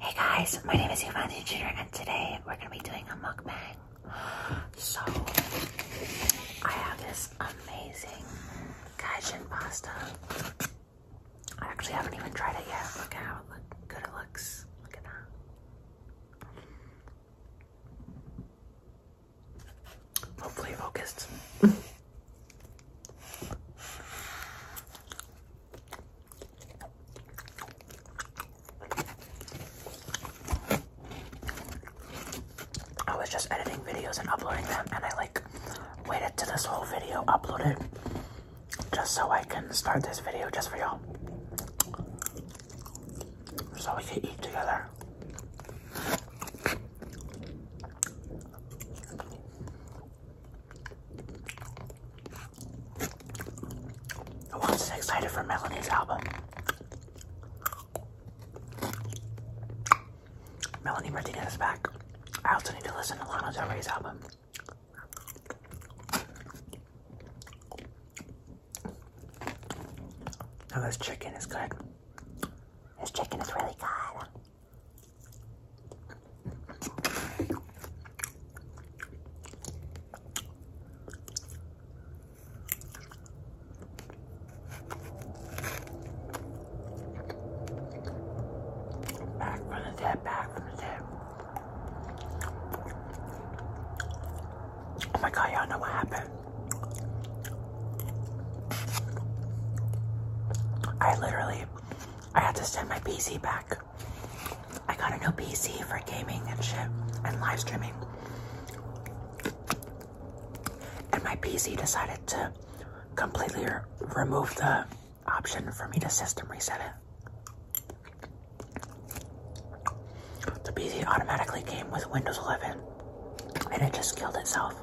Hey guys, my name is Yvonne Jr. and today we're gonna be doing a mukbang. So I have this amazing gaijin pasta. I actually haven't even tried it yet. Look at how good it looks. Look at that. Hopefully focused. I was just editing videos and uploading them, and I like waited to this whole video uploaded just so I can start this video just for y'all. So we can eat together. Who else is excited for Melanie's album? Melanie Martinez is back. I also need to listen to Lana Del Rey's album. Now this chicken is good. This chicken is really good. Back from the tip, back from the tip. Oh my god, y'all know what happened. I literally, I had to send my PC back. I got a new PC for gaming and shit and live streaming. And my PC decided to completely remove the option for me to system reset it. The PC automatically came with Windows 11 and it just killed itself.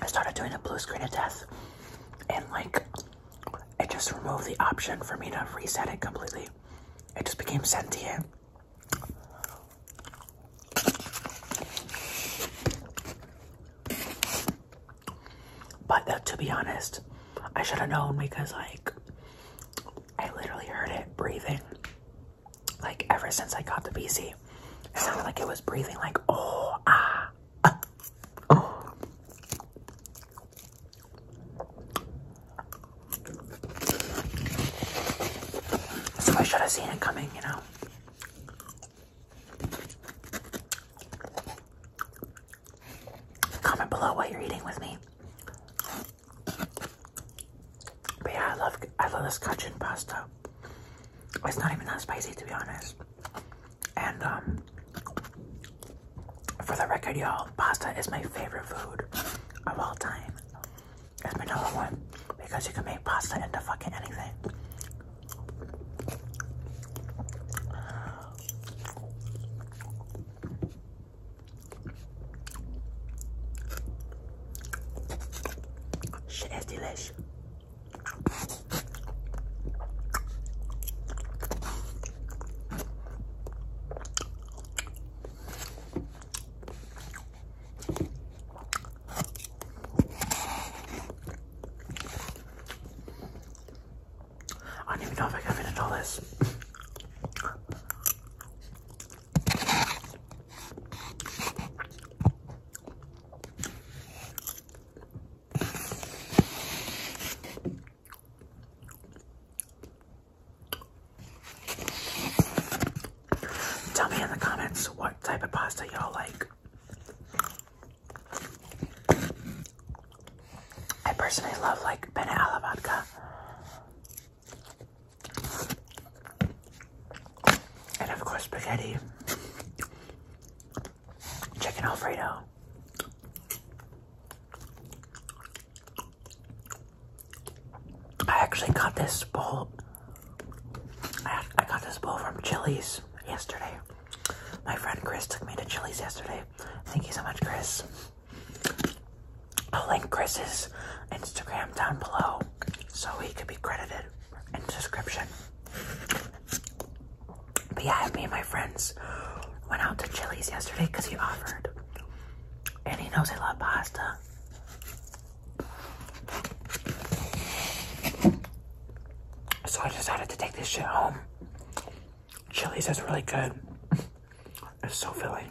I started doing a blue screen of death, and like it just removed the option for me to reset it completely. It just became sentient. But uh, to be honest, I should have known because like I literally heard it breathing. Like ever since I got the PC, it sounded like it was breathing. Like oh ah, so I should have seen it coming, you know. Comment below what you're eating with me. But yeah, I love I love this cajun pasta. It's not even that spicy to be honest. And um, for the record y'all, pasta is my favorite food of all time. It's my number one because you can make pasta into fucking anything. Shit is delicious. I don't even know if I can finish all this. Tell me in the comments what type of pasta y'all like. I personally love like penne alla vodka. And of course spaghetti chicken Alfredo. I actually got this bowl. I, I got this bowl from Chili's yesterday. My friend Chris took me to Chili's yesterday. Thank you so much, Chris. I'll link Chris's Instagram down below so he could be credited in the description. But yeah, me and my friends went out to Chili's yesterday because he offered. And he knows I love pasta. So I decided to take this shit home. Chili's is really good. It's so filling.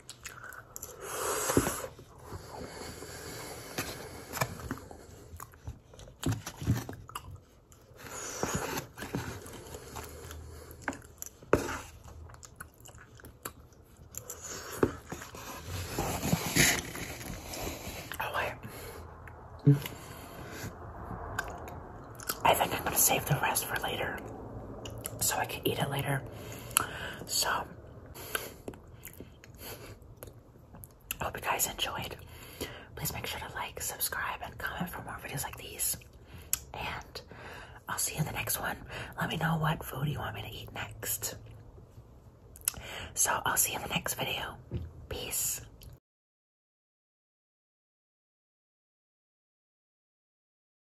Oh I think I'm gonna save the rest for later so I can eat it later. So, hope you guys enjoyed. Please make sure to like, subscribe, and comment for more videos like these. And I'll see you in the next one. Let me know what food you want me to eat next. So, I'll see you in the next video. Peace.